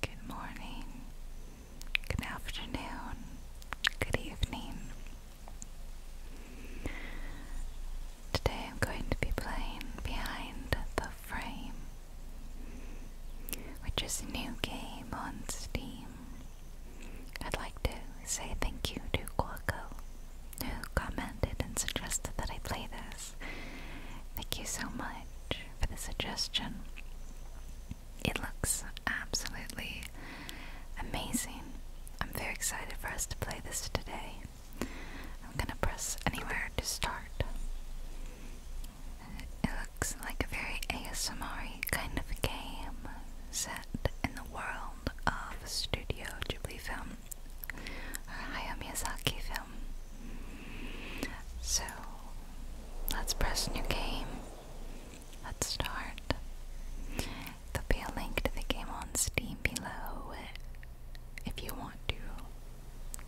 Good morning, good afternoon, good evening. Today I'm going to be playing Behind the Frame, which is a new game on Steam. I'd like to say thank you to Quaco, who commented and suggested that I play this. Thank you so much for the suggestion. It looks absolutely amazing. I'm very excited for us to play this today. I'm gonna press anywhere to start. It looks like a very ASMR kind of game set in the world of Studio Ghibli film or Hayao Miyazaki film. So let's press new game. Let's start. There'll be a link to the game on Steam below if you want to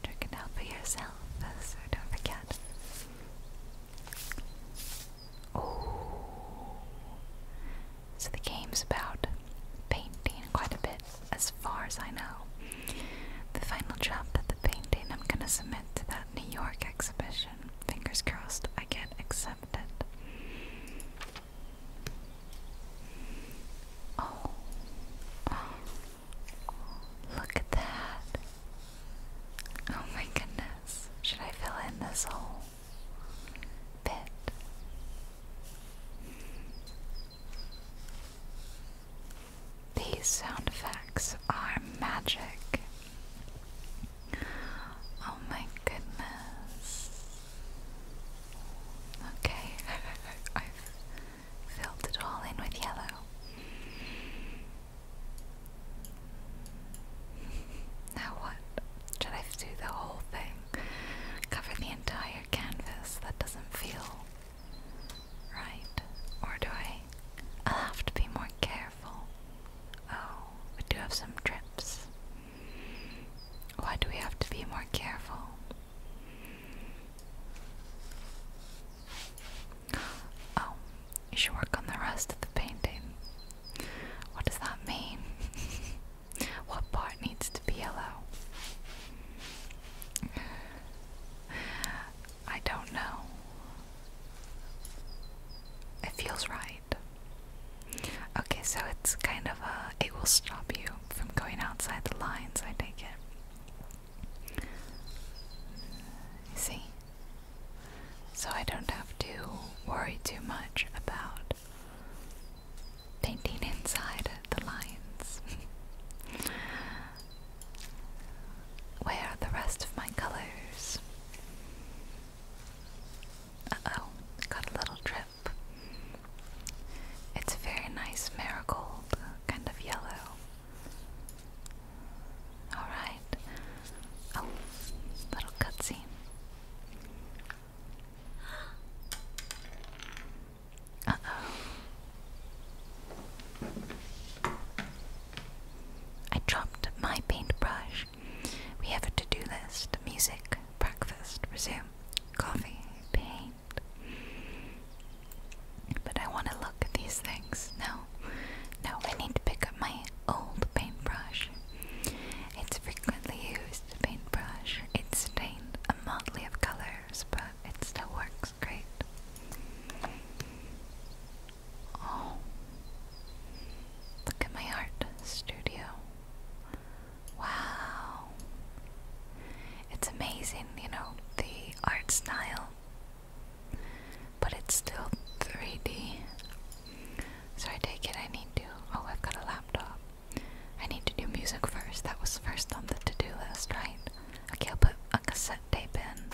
check it out for yourself, so don't forget. Oh, so the game's about painting quite a bit as far as I know. The final job that the painting I'm gonna submit to that New York exhibition. Fingers crossed I get accepted. Oh. oh. Look at that. Oh my goodness. Should I fill in this whole bit? These sound effects are magic. Oh my goodness. Okay, I've filled it all in with yellow. Now what? Should I do the whole thing? Cover the entire canvas? That doesn't feel Right. Or do I? I'll have to be more careful. Oh, we do have some trips. Why do we have to be more careful? Oh, you should work on the rest of the painting. What does that mean? what part needs to be yellow? I don't know. It feels right. Okay, so it's kind of a. It will stop you from going outside the lines, I take it. See? So I don't have to worry too much about painting inside the lines. Where are the rest of my colors? oh, got a little drip. It's very nice marigold, kind of yellow. Alright. Oh, little cutscene. Uh oh. I dropped my paintbrush. We have a to do list music, breakfast, resume, coffee, paint. But I want to look at these things. No, no, I need to pick up my old paintbrush. It's frequently used paintbrush. It's stained a motley of colors, but it still works great. Oh, look at my art studio. Wow. It's amazing, you know, the art style, but it's still 3D. So I take it I need to. Oh, I've got a laptop. I need to do music first. That was first on the to do list, right? Okay, I'll put a cassette tape in.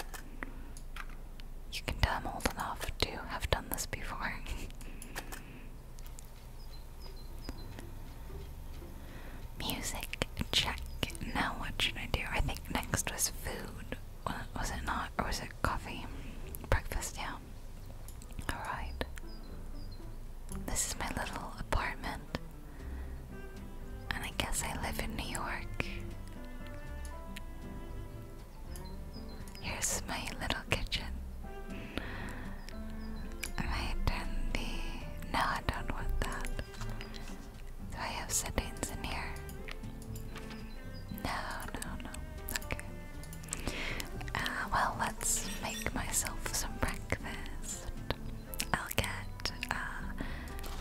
You can tell I'm old enough to have done this before. Music check. Now what should I do? I think next was food. Was it not? Or was it coffee? Breakfast, yeah. Alright. This is my little apartment. And I guess I live in New York. Here's my little kitchen. Am I turn the no I don't want that. Do I have settings in here? No, no, no. Okay. Uh, well, let's make myself some breakfast. I'll get uh,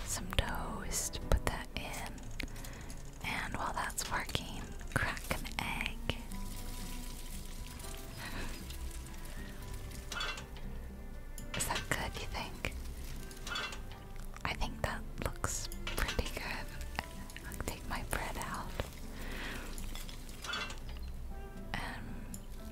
some toast, put that in, and while that's working, crack an egg. Is that good, you think? I think that looks pretty good. take my bread out. Um,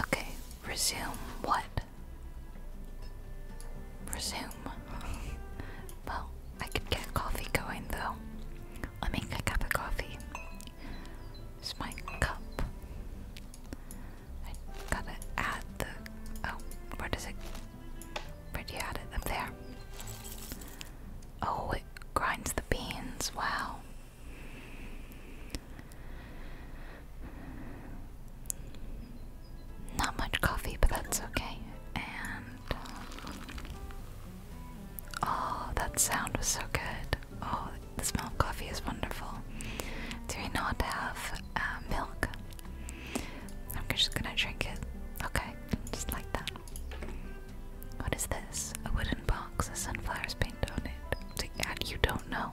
Okay, resume what? Resume. well, I could get coffee going though. Let make a cup of coffee. It's my cup. I gotta add the. Oh, where does it. Where do you add it? Up there. Oh, it grinds the beans. Wow. Not much coffee, but that's okay. And um, oh, that sound was so good. Oh, the smell of coffee is wonderful. Do we not have uh, milk? I'm just gonna drink it. Okay, just like that. What is this? A wooden box with sunflowers painted on it. Uh, you don't know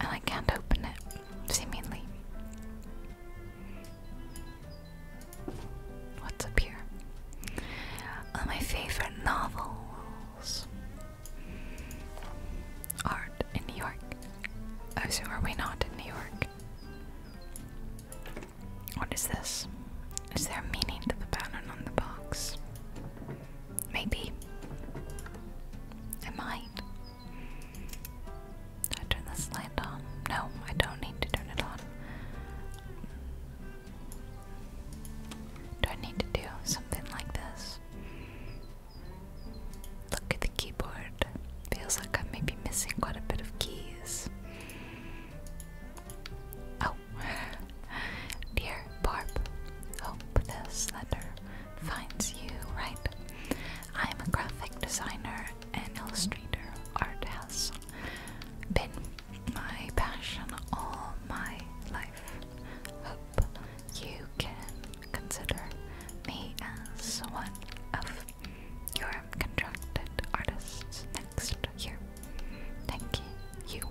and I can't open it, seemingly. What's up here? All my favorite novels. Art in New York. Oh, so are we not in New York? What is this? Is there a meaning to the pattern on the box? Maybe. I might. I turn the light on? No, I don't need to turn it on. Do I need to do something like this? Look at the keyboard. Feels like I may be missing quite a bit of keys. Oh, Dear Barb, hope this letter finds you right. I'm a graphic designer and illustrator. Art has been my passion all my life. Hope you can consider me as one of your contracted artists next year. Thank you.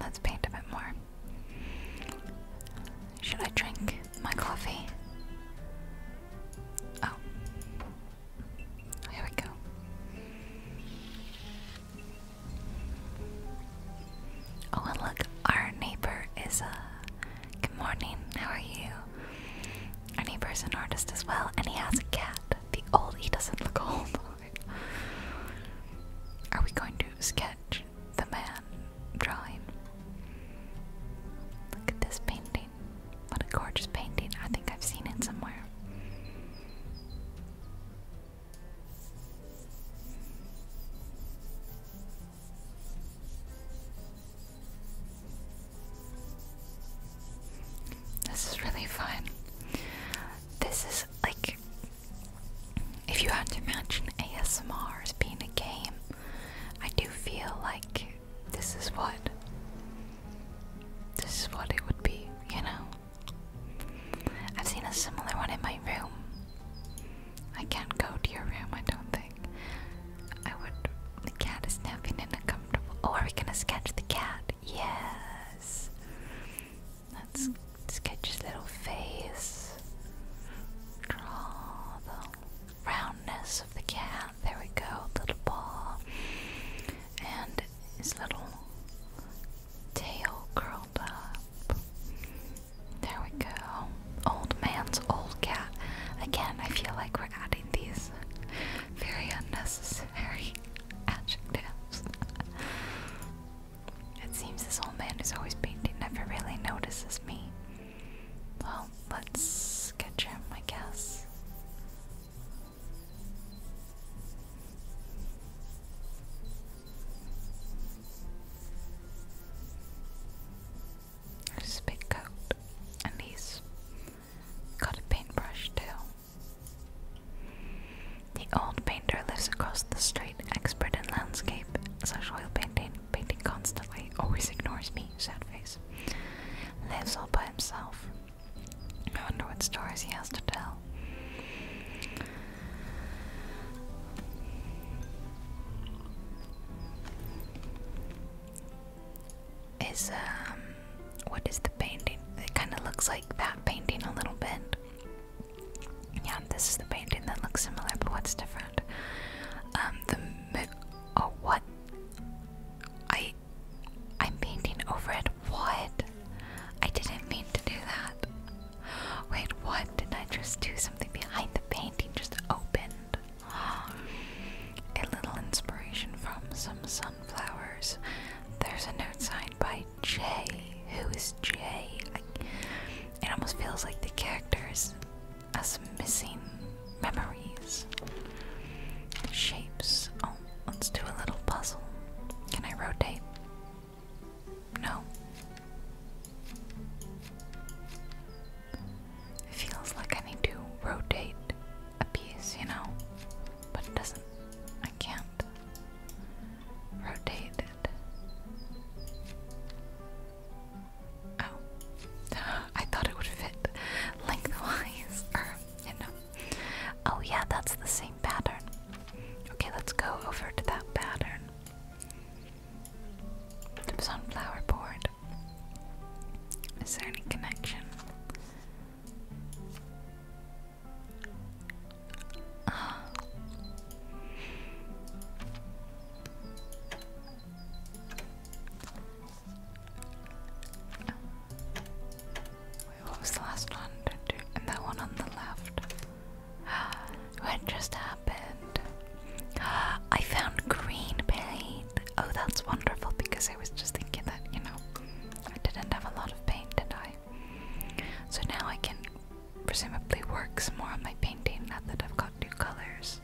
Let's paint a bit more. Should I drink my coffee? Oh. Here we go. Oh, and look, our neighbor is, uh, good morning, how are you? And he an artist as well, and he has a cat. The old he doesn't look old. Are we going to sketch the man drawing? Look at this painting. What a gorgeous painting. I think I've seen it somewhere. This is really fun. This is like if you had to imagine ASMR as being a game, I do feel like this is what this is what it would be, you know. I've seen a similar one in my room. I can't go to your room, I don't think. I would. The cat is napping in a Oh, are we gonna sketch the cat? Yes. Let's sketch his little face. Draw the roundness of the cat. There we go. Little ball. And his little tail curled up. There we go. Old man's old cat. Again, I feel like we're adding these very unnecessary adjectives. it seems this old man is always painting never really notices me. Well, let's sketch him, I guess. There's big coat, and he's Got a paintbrush too. The old painter lives across the street, expert in landscape, social painting, painting constantly, always ignores me, sad face. Lives all by himself. I wonder what stories he has to tell is um what is the painting? It kind of looks like that painting a little bit. Yeah, this is the painting that looks similar, but what's different? Um, the oh what? I I'm painting over it. What? I didn't mean to do that. Wait, what? Did I just do something behind the painting? Just opened. A little inspiration from some sunflowers. There's a note signed by Jay. Who is Jay? it almost feels like the characters as missing memories. Shapes. Oh, let's do a little puzzle. Can I rotate? No. It feels like I need to rotate a piece, you know? But it doesn't. I can't rotate it. Oh. I thought it would fit lengthwise. Or, you know. Oh, yeah, that's the same pattern. Okay, let's go over to that pattern. Sunflower born. Is there any connection? Wait, what was the last one? And that one on the left. what just happened? I found green, Billy. Oh, that's wonderful because I was just thinking that, you know, I didn't have a lot of pain, did I? So now I can presumably work some more on my painting now that I've got new colors.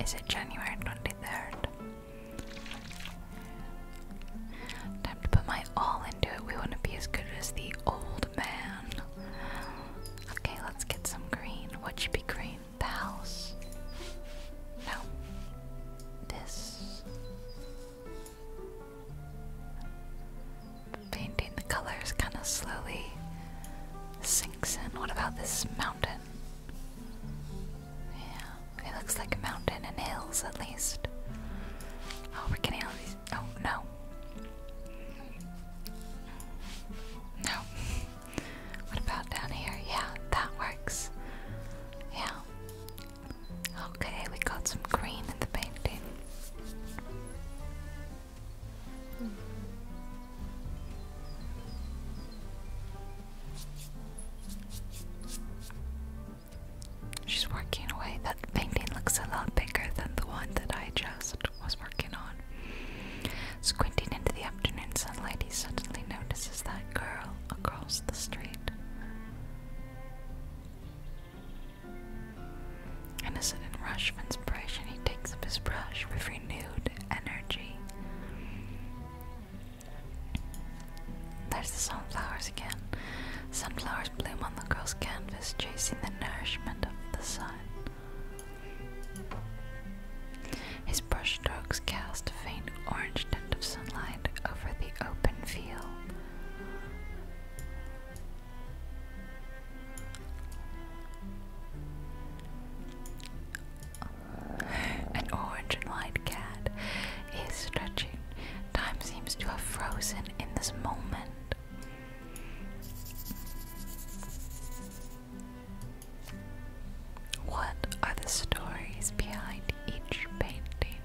Is it January 23rd? Time to put my all into it. We want to be as good as the old man. Okay, let's get some green. What should be green? The house? No. This. Painting the colors kind of slowly sinks in. What about this mountain? Yeah, it looks like a mountain and hills at least. Oh, we're getting all these. Oh no, no. What about down here? Yeah, that works. Yeah. Okay, we got some green in the painting. She's working away. That painting looks a lot bigger than the one that I chose was working on. Squinting into the afternoon sunlight, he suddenly notices that girl across the street. In a sudden rush of inspiration, he takes up his brush with renewed energy. There's the sunflowers again. Sunflowers bloom on the girl's canvas, chasing the nourishment of the sun. His brush strokes cast a faint orange tint of sunlight over the open field. An orange and cat is stretching. Time seems to have frozen in this moment. What are the stories behind each painting?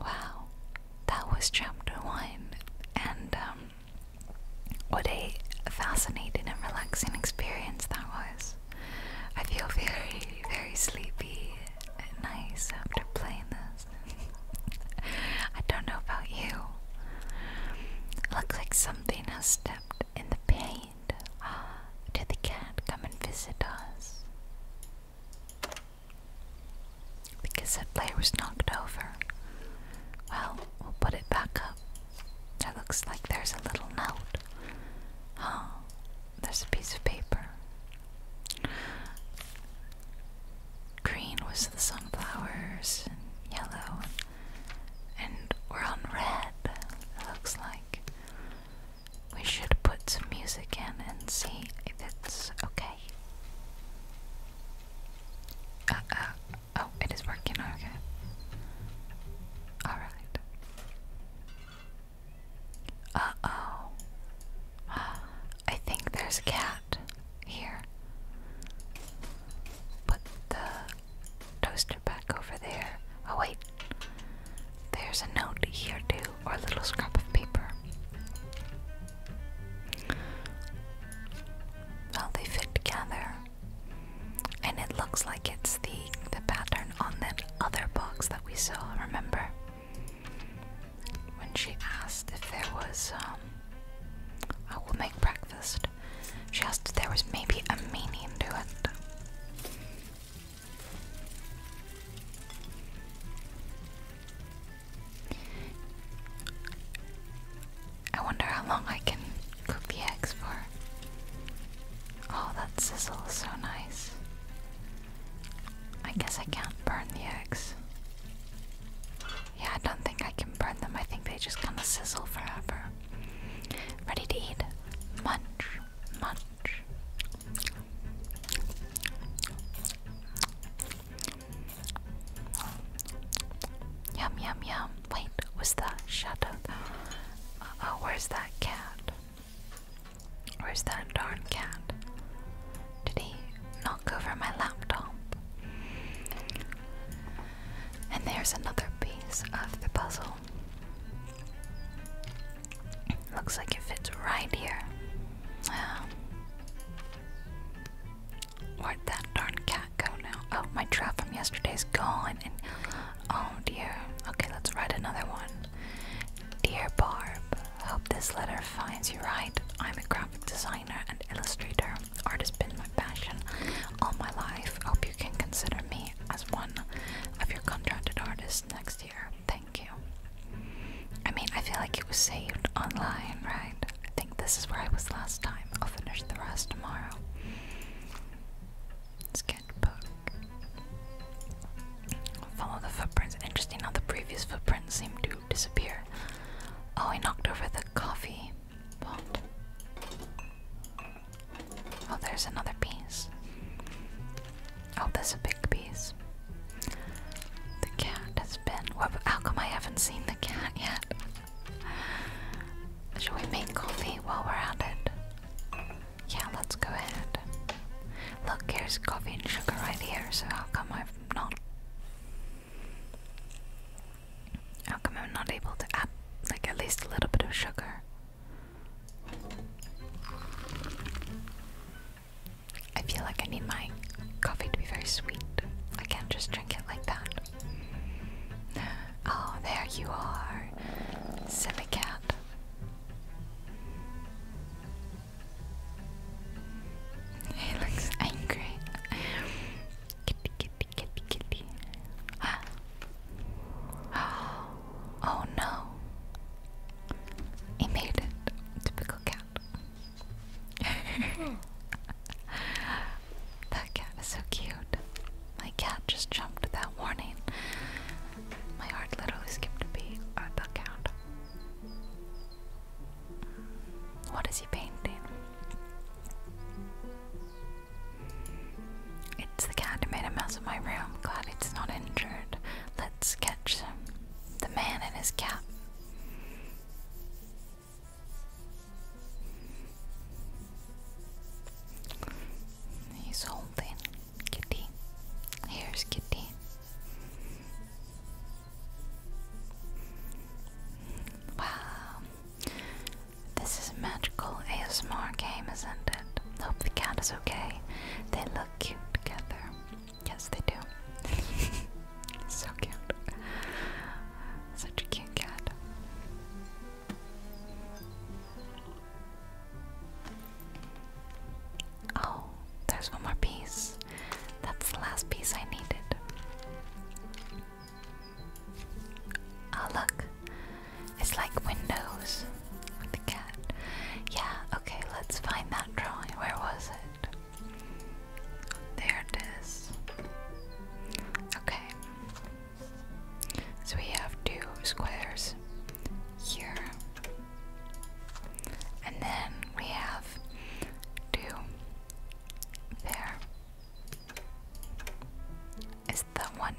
Wow, that was chapter one, and um, what a fascinating and relaxing experience that was. I feel very, very sleepy nice after playing this. I don't know about you. Looks like something has stepped in the paint. Ah, did the cat come and visit us? Because that player was knocked over. Well, we'll put it back up. That looks like there's a little note. Oh, there's a piece of paper. Green was the sunflowers, and yellow, and we're on red, looks like. We should put some music in and see if it's okay. Uh, uh, oh, it is working, okay. Alright. Uh oh. I think there's a cat here. Put the toaster back over there. Oh, wait. There's a note here, too, or a little scrap of paper. Well, they fit together. And it looks like it's the, the pattern on that other box that we saw, remember? When she asked if there was, um, I will make breakfast. She asked if there was maybe a meaning to it. I wonder how long I can cook the eggs for. Oh, that sizzle is so nice. I guess I can't burn the eggs. Yeah, I don't think I can burn them. I think they just kind of sizzle forever. Ready to eat? Munch, munch. Yum, yum, yum. Wait, was that shadow? Uh, oh, where's that cat? Where's that darn cat? Did he knock over my laptop? And there's another piece of the puzzle. Looks like it fits right here. Um, where'd that darn cat go now? Oh, my trap from yesterday's gone. And oh dear. Okay, let's write another one. Dear Barb, hope this letter finds you right. I'm a graphic designer and illustrator. Art has been my passion all my life. Hope you can consider me as one of your contracted artists next year. Thank you. I mean, I feel like it was saved online, right? I think this is where I was last time. I'll finish the rest tomorrow. Let's Follow the footprints. Interesting how the previous footprints seem to disappear. Oh, I knocked over the coffee pot. Oh, there's another piece. Oh, there's a big piece. The cat has been. What, how come I haven't seen the cat yet? Shall we make coffee while we're at it? Yeah, let's go ahead. Look, here's coffee and sugar right here, so how come I'm not how come I'm not able to add like at least a little bit of sugar? I feel like I need my coffee to be very sweet. I can't just drink it like that. Oh, there you are, semi he looks angry. Kitty, kitty, kitty, kitty. Ah. Oh no. He made it. Typical cat. that cat is so cute. My cat just jumped at warning. My heart literally skipped a beat at the count. What is he painting? It's the cat who made a mess of my room. Glad it's not injured. Let's catch him. The man in his cap. He's holding Kitty. Here's Kitty. Wow. This is a magical ASMR game, isn't it? Hope the cat is okay. They look cute together. Yes, they do. so cute. Such a cute cat. Oh, there's one more piece. That's the last piece I needed. Oh, look. It's like windows the cat. Yeah, okay, let's find that drawing. Where was it? There it is. Okay. So we have two squares here. And then we have two there. Is the one,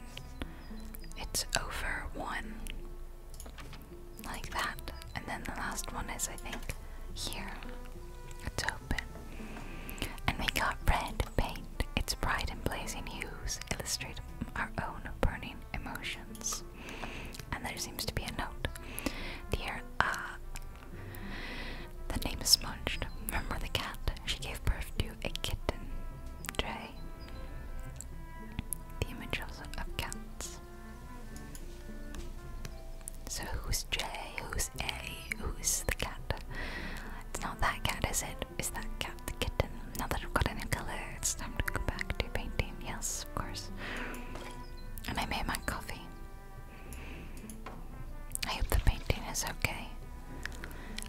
it's over one, like that. And then the last one is, I think, here. It's open. And we got red paint. It's bright and blazing hues illustrate our own burning emotions. And there seems to be a note. Dear, uh, the name is smudged. Remember the cat? She gave birth to a kitten. Jay. The images of cats. So who's J? Who's A? Who's the cat? It's not that cat, is it? Is that cat? the kitten. Now that I've got a new color, it's time to go back to painting. Yes, of course. I made my coffee. I hope the painting is okay.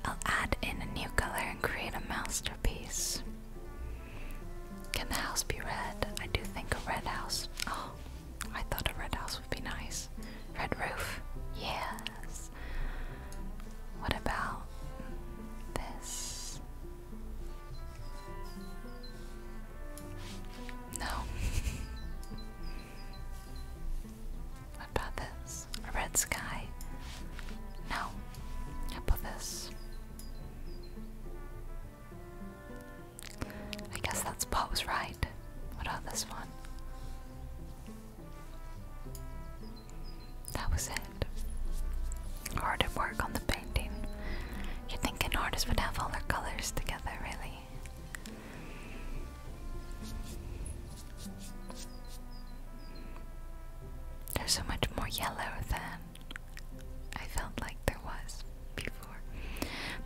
I'll add in a new color and create a masterpiece. Can the house be red? I do think a red house. Oh, I thought a red house would be nice. Red roof. Yes. What about this? No. what about this? A red sky? No. How about this? I guess that spot was right. What about this one? That was it. Hard at work on the painting. You're thinking artists would have all their colors together, really. There's so much more yellow than I felt like there was before.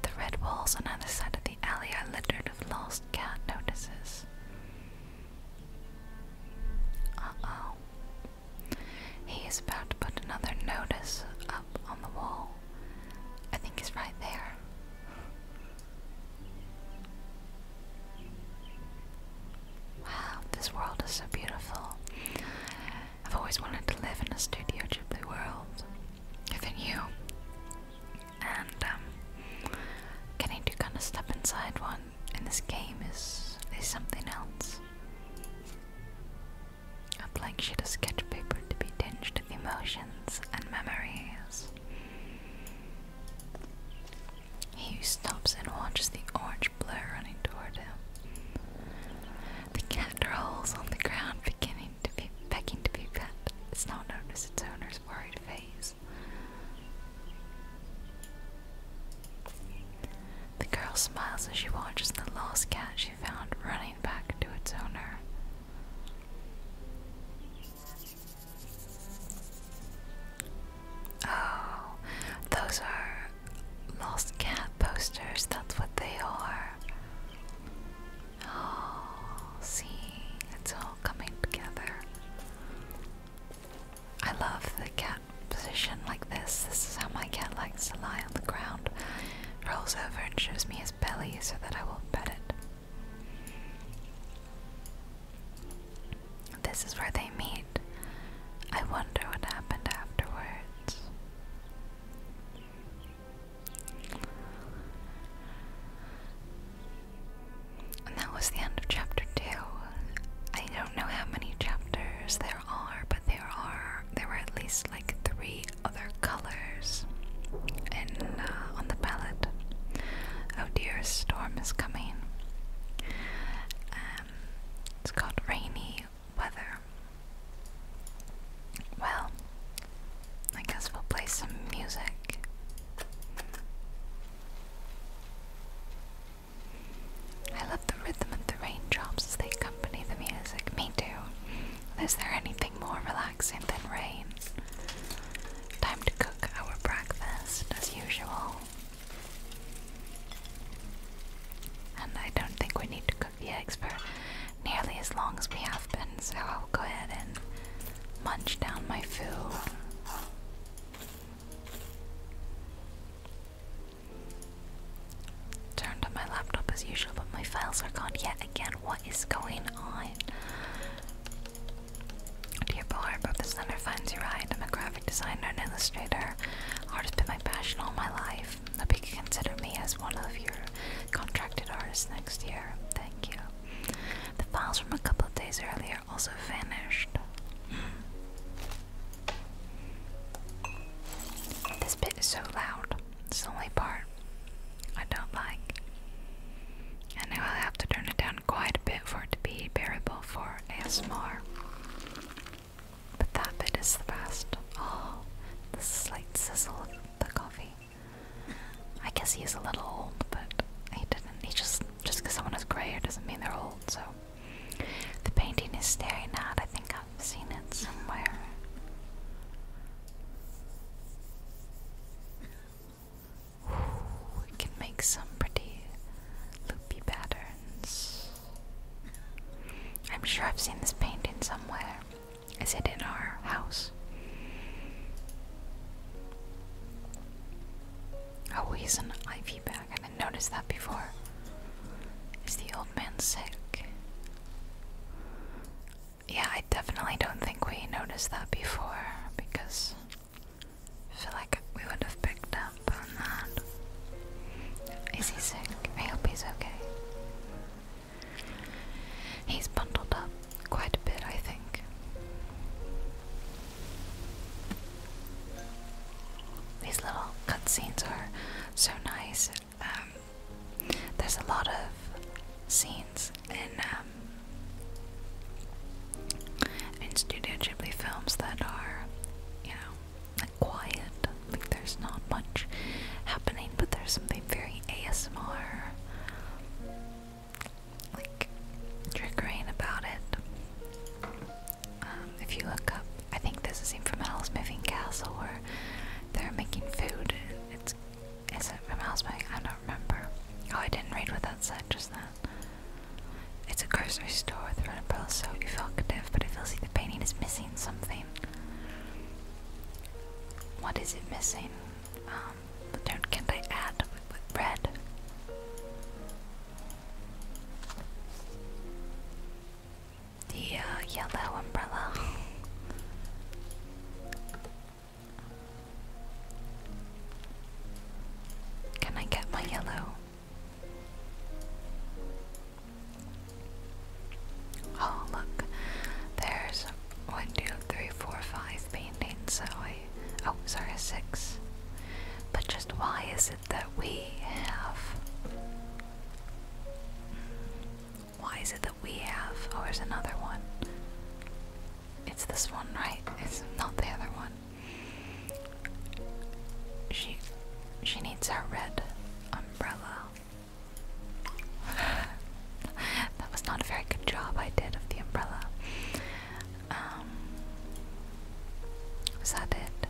The red walls on either side of the alley are littered with lost cat notices. Uh-oh. He is about to put another notice up on the wall. I think he's right there. Wow, this world is so beautiful. I've always wanted to live in a Studio Ghibli world. Even you. And, um, can I do kind of step inside one? And this game is is something else. A blank sheet of sketch paper to be tinged with emotions and memories. He stops and watches the orange blur running toward him. The cat rolls on the ground, beginning to be begging to be pet. It's not noticed its owner's worried face. The girl smiles as she watches the lost cat she found running back to its owner. Oh, those are lost cat posters, that's what they are. Oh, see, it's all coming together. I love the cat position like this. This is how my cat likes to lie on the ground. Rolls over and shows me his belly so that I will pet it. This is where they meet. I wonder what happened afterwards. And that was the end of chapter two. I don't know how many chapters there are, but there are there were at least like three other colors in uh, on the palette. Oh dear, a storm is coming. Um, it's got rainy weather. Well, I guess we'll play some music. I love the rhythm of the raindrops as they accompany the music. Me too. Is there anything more relaxing than rain? Time to cook our breakfast as usual. And I don't think we need to cook the eggs for nearly as long as we have been, so I'll go ahead and munch down my food. Turned on my laptop as usual, but my files are gone yet again. What is going on? Dear Bo Harbor, this thunder finds you right. I'm a graphic designer and illustrator. Art has been my passion all my life. I hope you consider me as one of your contracted artists next year. Thank you. The files from a couple days earlier also finished. This bit is so loud. It's the only part I don't like. And now I'll have to turn it down quite a bit for it to be bearable for ASMR. But that bit is the best. Oh, the slight sizzle of the coffee. I guess he's a little old, but he didn't. He just just because someone is grayer doesn't mean they're old, so. The painting is staring at. I think I've seen it somewhere. Ooh, can make some pretty loopy patterns. I'm sure I've seen this painting somewhere. Is it in our house? Oh, he's an IV bag. I didn't notice that before. Is the old man sick? Yeah, I definitely don't think we noticed that before because I feel like we would have picked up on that. Is he sick? I hope he's okay. He's bundled up quite a bit, I think. These little cutscenes are so nice. Um, there's a lot of scenes in um, in Studio Ghibli films that are, you know, like quiet. Like there's not much happening, but there's something very ASMR like triggering about it. Um, if you look up, I think this is from Alice Moving Castle where they're making food. It's is it from Alice Moving? I don't remember. Oh, I didn't read what that said just then. It's a grocery store with red umbrellas, so evocative, but it feels like the painting is missing something. What is it missing? Um, what can I add with red? The uh, yellow umbrella. Can I get my yellow? Oh, look, there's one, two, three, four, five paintings, so Oh, sorry, six. But just why is it that we have. Why is it that we have. Oh, there's another one. It's this one, right? It's not the other one. She. She needs her red umbrella. that was not a very good job I did of the umbrella. Um, is that it?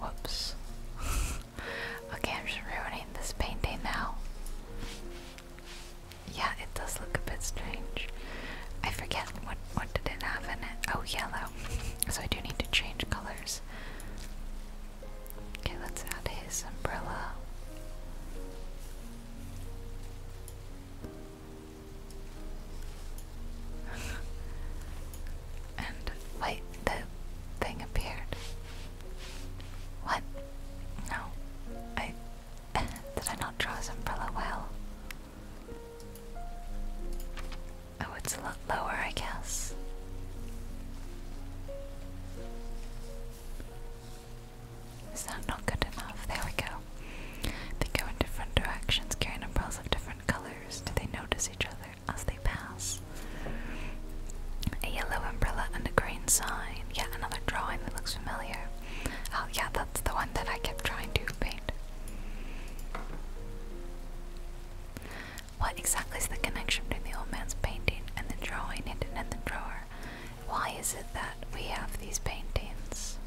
Whoops. okay, I'm just ruining this painting now. Yeah, it does look a bit strange. I forget what what did it have in it. Oh, yellow. So I do need to change colors. Okay, let's add his umbrella. and wait, the thing appeared. What? No. I did I not draw his umbrella well? Oh, it's a lot lower, I guess. Is that not good enough? There we go. They go in different directions, carrying umbrellas of different colors. Do they notice each other as they pass? A yellow umbrella and a green sign. Yet another drawing that looks familiar. Oh, yeah, that's the one that I kept trying to paint. What exactly is the connection between the old man's painting and the drawing hidden in the drawer? Why is it that we have these paintings?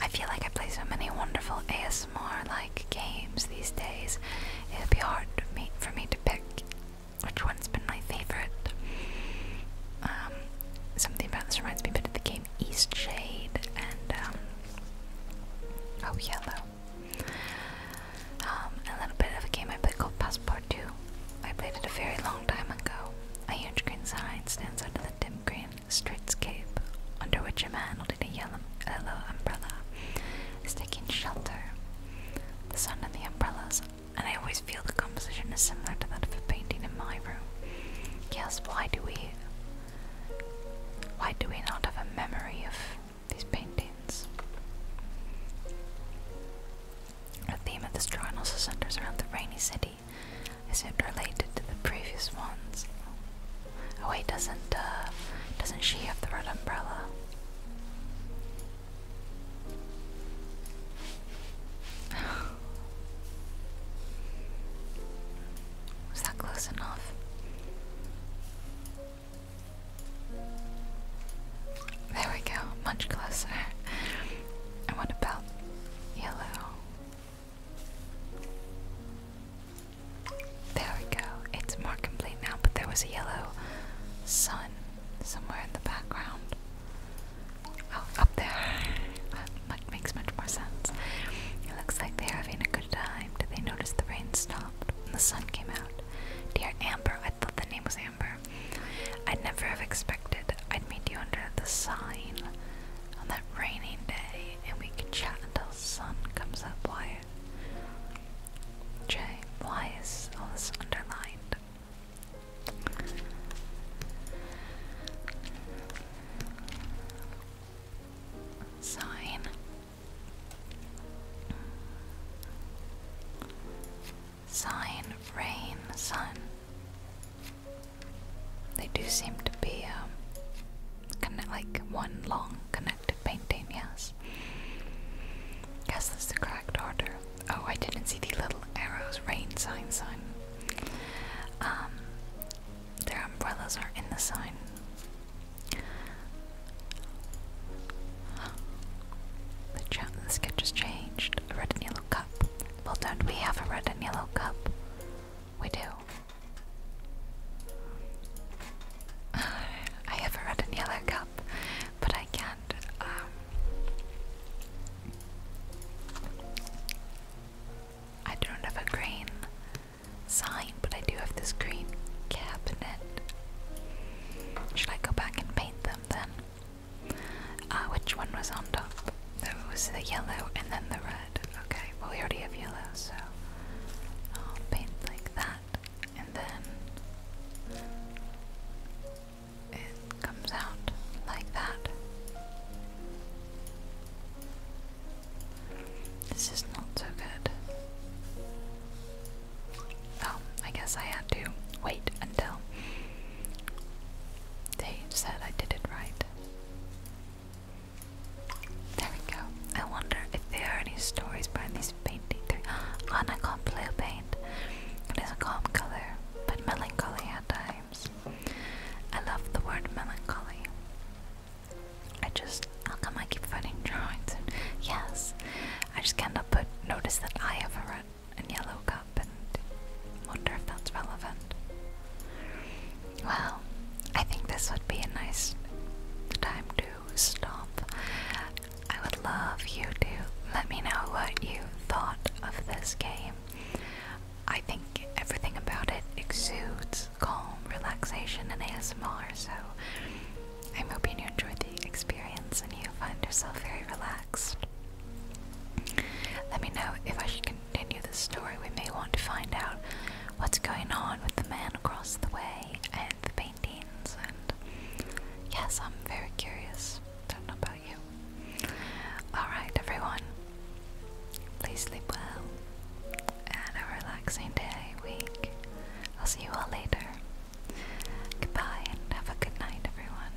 I feel like I play so many wonderful ASMR like games these days. It would be hard for me, to pick which one's been my favorite. Um, something about this reminds me a bit of the game Eastshade and um, Oh Yellow. Um, a little bit of a game I played called Passport 2. I played it a very long time ago. A huge green sign stands under the dim green streetscape, under which a man holding a yellow, yellow umbrella is taking shelter. The sun and the umbrellas, and I always feel the composition is similar to that of a painting in my room. Yes, why do we why do we not have a memory of these paintings. The theme of this drawing also centers around the rainy city. Is It related to the previous ones. Oh wait, doesn't uh, doesn't she have the red umbrella? Was that close enough? There we go, much closer. And what about yellow? There we go, it's more complete now, but there was a yellow sun somewhere in the background. Oh, up there. That makes much more sense. It looks like they're having a good time. Did they notice the rain stopped and the sun came out? Dear Amber, I thought the name was Amber. I'd never have expected I'd meet you under the sign on that rainy day and we could chat until the sun comes up, Wyatt. Jay, why is all this underlined? Sign. Sign, rain, sun. They do seem to be um, connect, like one long connected painting, yes. Guess that's the correct order. Oh, I didn't see the little arrows. Rain, sign, sun. Um, their umbrellas are in the sign. The, chat, sketch has changed. A red and yellow cup. Well, don't we have a red and yellow cup? We do. I have a red and yellow cup, but I can't. Um, I don't have a green sign, but I do have this green cabinet. Should I go back and paint them then? Uh, which one was on top? It was the yellow and then the red. Okay, well, we already have yellow, so I'll paint like that, and then it comes out like that. This is not so good. Oh, I guess I had to wait until they said I did it right. There we go. I wonder if there are any stories behind these painting three. Anna can't It is a calm color, but melancholy at times. I love the word melancholy. I just, how come I keep finding drawings? And yes, I just cannot not but notice that I have a red and yellow cup and wonder if that's relevant. Well, I think this would be a nice time to stop. I would love you to let me know what you thought of this game. I think everything about it exudes calm relaxation and ASMR, so I'm hoping you enjoy the experience and you find yourself very relaxed. Let me know if I should continue the story. We may want to find out what's going on with the man across the way and the paintings and yes, I'm very curious. Don't know about you. Alright everyone. Please sleep well and a relaxing day, week. I'll see you all later. Goodbye and have a good night, everyone.